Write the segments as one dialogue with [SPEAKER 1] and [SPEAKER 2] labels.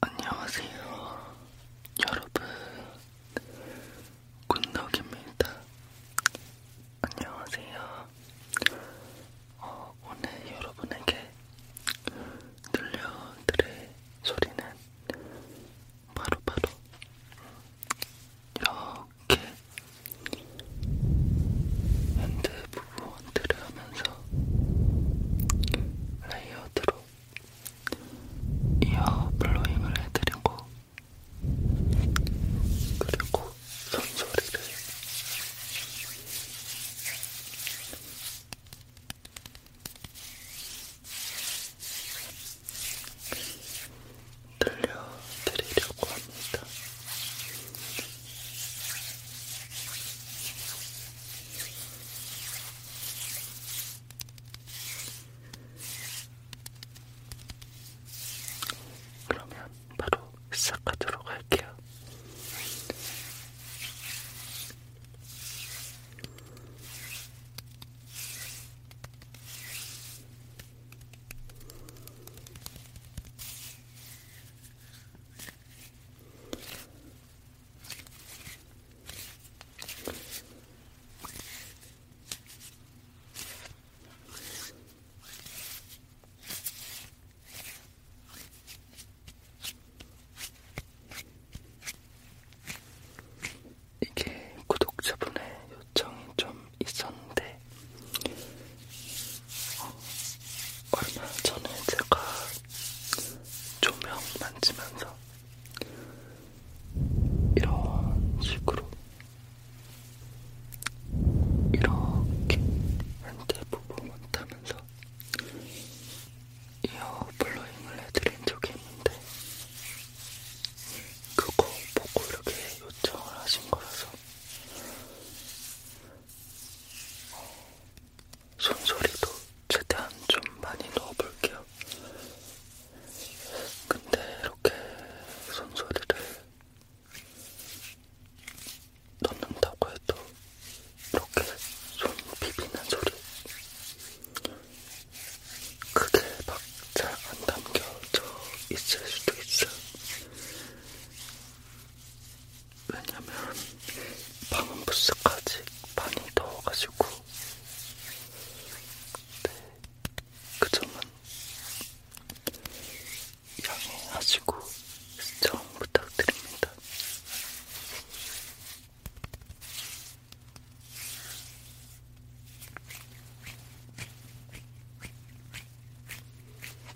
[SPEAKER 1] 안녕하세요, 여러분. 군덕입니다. 안녕하세요. 어, 오늘 여러분에게 들려드릴 소리는 바로바로 바로 이렇게 핸드 부분들을 하면서 레이어드로 이어 블로잉을 해드리고 그리고 손소리를 들려드리려고 합니다. 그러면 바로 시작하도록 할게요. 이게 구독자분의 요청이 좀 있었는데, 어, 얼마 전에 제가 조명 만지면서 이런 식으로 이렇게 한대 부분 못하면서 이어 블로잉을 해드린 적이 있는데 그거 보고 이렇게 요청을 하신 거라서 어, 손소리도 최대한 좀 많이 넣어볼게요. 근데 이렇게 손소리를 넣는다고 해도 이렇게 손 비비는 소리 크게 막잘안 담겨져 있을 수도 있어요. 왜냐면 방음부스까지 많이 더워가지고 네, 그 점은 양해하시고 시청 부탁드립니다.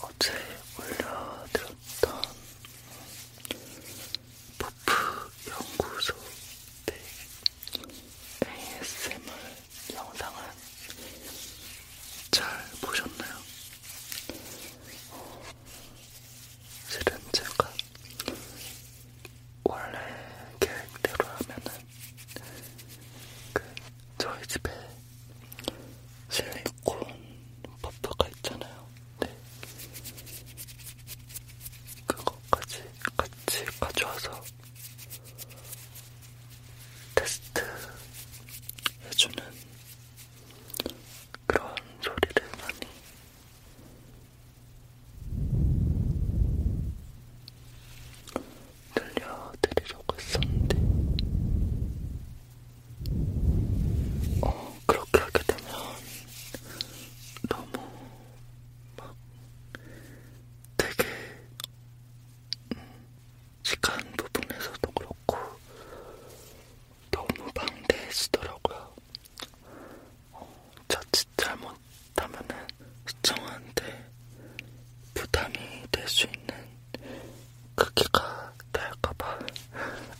[SPEAKER 1] 어제 올려드렸던 버프 연구소 때 ASMR 영상은 잘 보셨나요? 어, 실은 제가 원래 계획대로 하면은 그 저희 집에 실리콘 버터가 있잖아요. 네. 그거까지 같이 가져와서 테스트 해주는 그런 소리를 많이 들려드리려고 했었는데 어, 그렇게 하게 되면 너무 막 되게 음, 시간 부분에서도 그렇고 너무 방대해지더라고요. 어, 자칫 잘못 하면은 시청하는데 부담이 될 수 있는 크기가 그 될까봐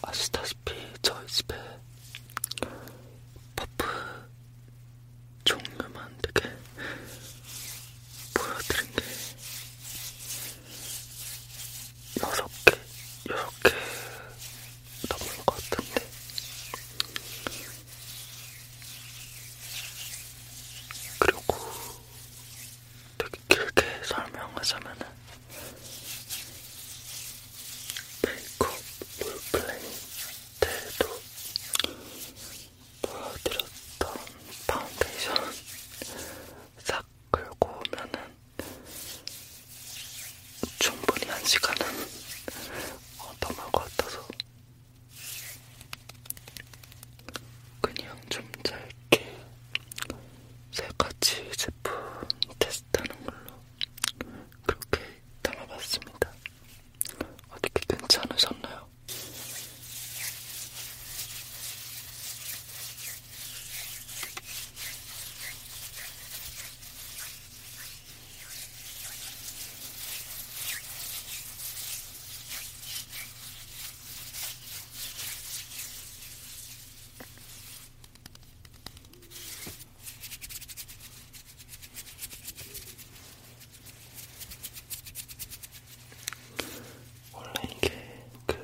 [SPEAKER 1] 아시다시피 저희 집에 퍼프 종류만 되게 보여드린 게 여섯 개, 여섯 개 넘은 것 같은데 그리고 되게 길게 설명하자면은 메이크업 롤플레이 때에도 보여드렸던 파운데이션 싹 긁고 오면은 충분히 한 시간은 어, 넘을 것 같아서 그냥 좀 짧게 세 가지 제품 테스트하는 걸로 그렇게 담아봤습니다. 어떻게 괜찮으셨나요? 원래 이게 그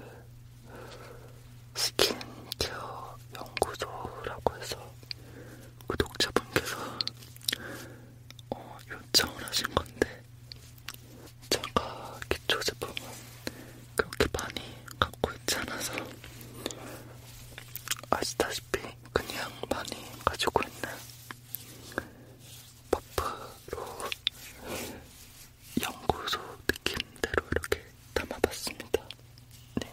[SPEAKER 1] 스킨케어 연구소라고 해서 구독자분께서 어, 요청을 하신 건데 제가 기초 제품은 그렇게 많이 갖고 있지 않아서 아시다시피 그냥 많이 가지고 있는 퍼프로 연구소 느낌대로 이렇게 담아봤습니다. 네.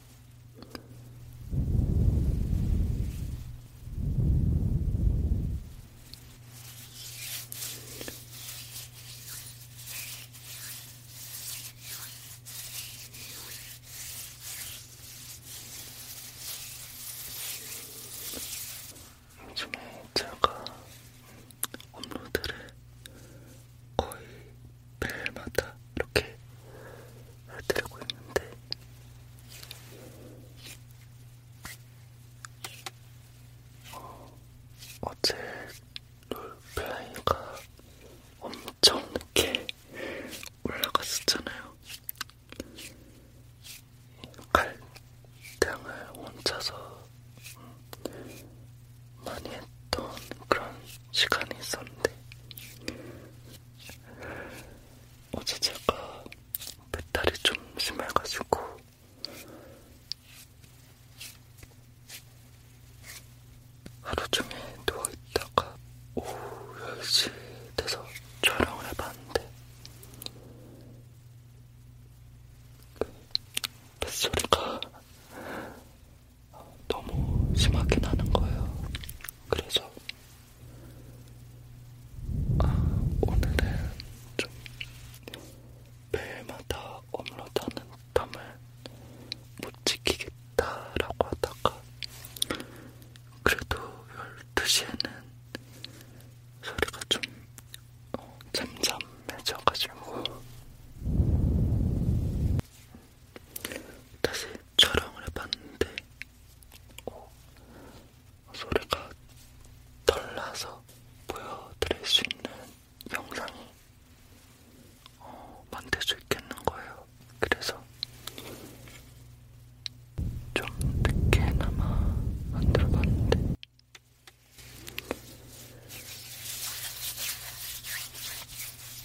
[SPEAKER 1] 요즘에 제가 업로드를 거의 매일마다 이렇게 해드리고 있는데 어, 어제 롤플레이가 엄청 늦게 올라갔었잖아요. 갈등을 혼자서 음, 많이 했던 그런 시간이 있었는데 어제 제가 배탈이 좀 심해가지고 하루 종일 누워있다가 오후 10시 돼서 촬영을 해봤는데 그 뱃소리가 너무 심하게 나는 거예요. 그래서 아, 오늘은 좀 매일마다 업로드하는 텀을 못 지키겠다라고 하다가 그래도 12시에는 소리가 좀 어, 잠잠해져가지고 다시 촬영을 해봤는데 오, 어, 소리가 덜 나서 보여드릴 수 있는 영상이 어, 만들 수 있겠는 거예요. 그래서 좀 늦게나마 만들어봤는데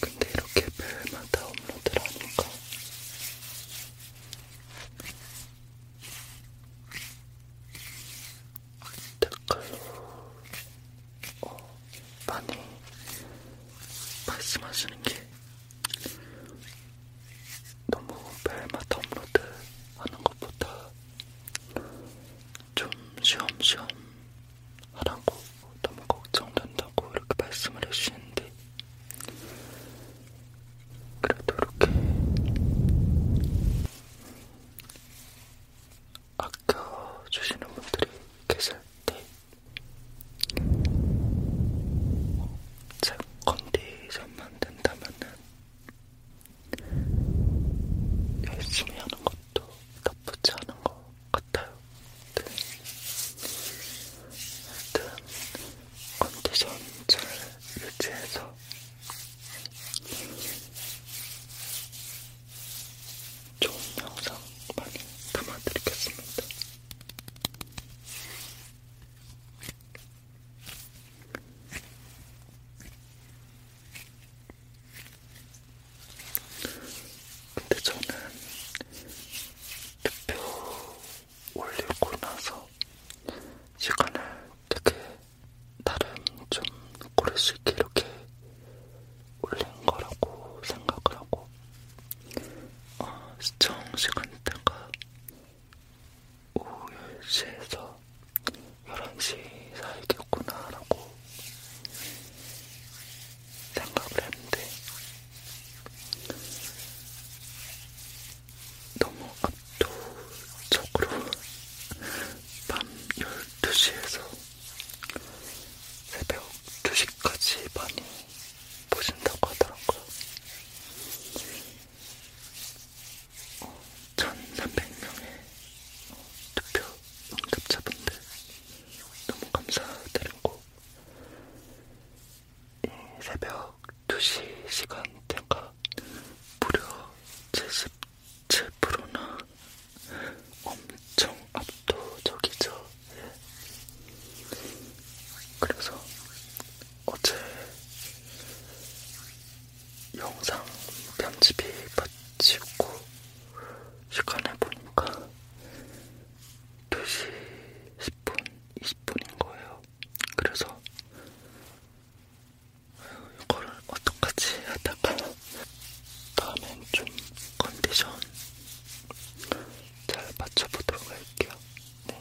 [SPEAKER 1] 근데 이렇게 별마다 업로드를 하니까 댓글로 어, 많이 말씀하시는 게 너무 별마다 업로드 하는 것보다 좀 쉬엄쉬엄 하라고 너무 걱정된다고 이렇게 말씀을 해주시는데 그래도 이렇게 아껴주시는 분들이 계실 때 제 컨디션만 된다면은 열심히 하는 것 것도 나쁘지 않은 것 같아요. 네. 하여튼 컨디션 잘 유지해서 좋은 영상 많이 담아드리겠습니다. 근데 저는 투표 올리고 나서 시간을 되게 나름 좀 고를 수 있게 이렇게 올린 거라고 생각을 하고 어, 시청 시간대가 오후 10시에서 11시 사이겠구나라고 생각을 했는데 너무 압도적으로 밤 12시에서 새벽 2시까지 많이 보신다고 하더라고요. 1300명의 어, 투표 응답자분들 너무 감사드리고 이 새벽 2시 시간대가 무려 77%나 엄청 압도적이죠. 예. 그래서 어제
[SPEAKER 2] 영상 편집이 마치고 시간을 보니까 2시 10분, 20분인 거예요.
[SPEAKER 1] 그래서 이거를 어떡하지 하다가
[SPEAKER 2] 다음엔 좀 컨디션 잘 맞춰보도록 할게요. 네.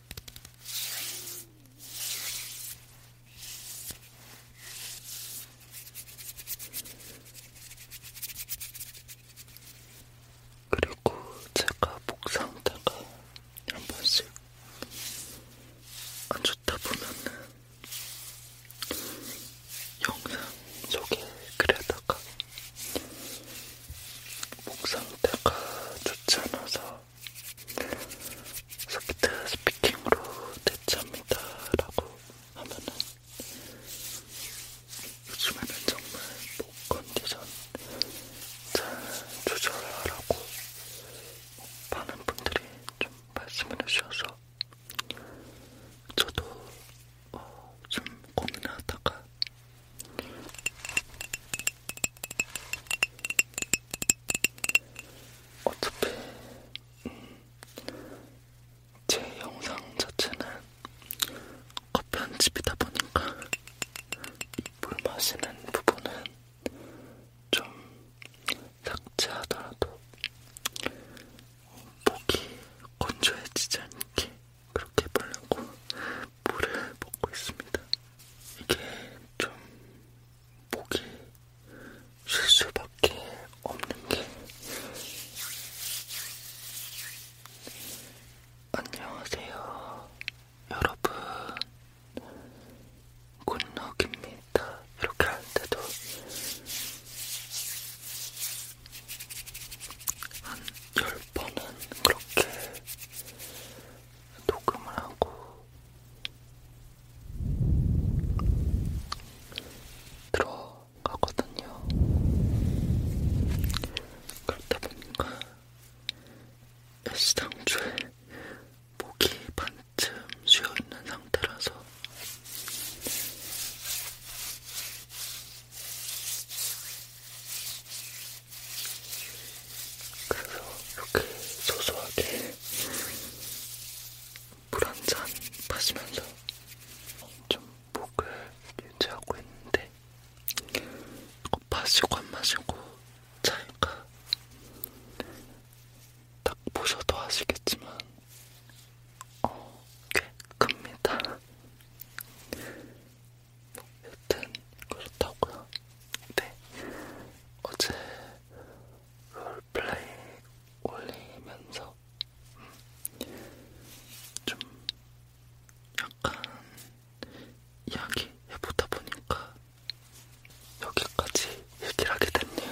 [SPEAKER 1] 그리고 제가 목 상태가 한 번씩 안 좋다 보면은 영상 속에 그려다가 목 상태가 좋지 않아서 소프트 스피킹으로 대체합니다 라고 하면은 요즘에는 정말 목 컨디션 잘 조절하라고 많은 분들이 좀 말씀을 해주셔서 저도 어, 좀 고민하다가 어차피 음, 제 영상 자체는 커피 한 집이다 보니까 물 마시는 부분은 좀 삭제하더라도 목이 건조해지지 않게 그렇게 해보려고 물을 먹고 있습니다. 이게 좀 목이 쉴 수밖에 없는 게 안녕하세요 여러분 굿럭입니다 이렇게 할 때도 한 10번은 그렇게 녹음을 하고 들어가거든요. 그러다 보니까 시상주에 목이 반쯤 쉬어있는 상태라서 그래서 이렇게 소소하게 물 한 잔 마시면서 좀 목을 유지하고 있는데 이거 마시고 안 마시고 차이가 딱 보셔도 아시겠지만 어, 꽤 큽니다. 여튼 그렇다고요. 네. 어제 롤플레이 올리면서 음, 좀 약간 이야기 해보다 보니까 여기까지 얘기를 하게 됐네요.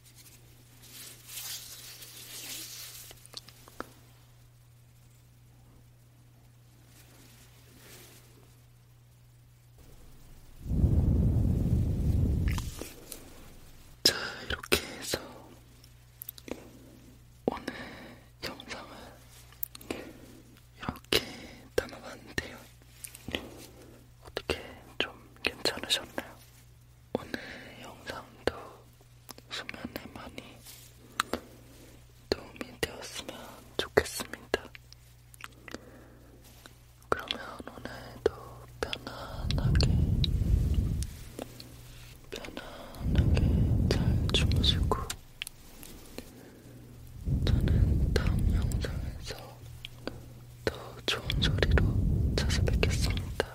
[SPEAKER 2] 자, 이렇게 해서 오늘 영상을 이렇게 담아봤는데요. 어떻게 좀 괜찮으셨나요? 오늘 영상도 수면에 많이 도움이 되었으면 좋겠습니다. 그러면 오늘도 편안하게, 편안하게 잘 주무시고, 저는 다음 영상에서 또 좋은 소리로 찾아뵙겠습니다.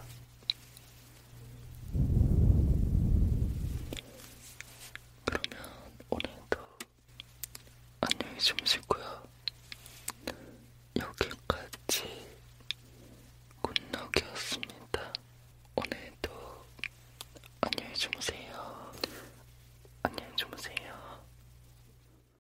[SPEAKER 2] 그러면 오늘도 안녕히 주무시고요. 여기까지 굿녹이었습니다. 오늘도 안녕히 주무세요. 안녕히 주무세요.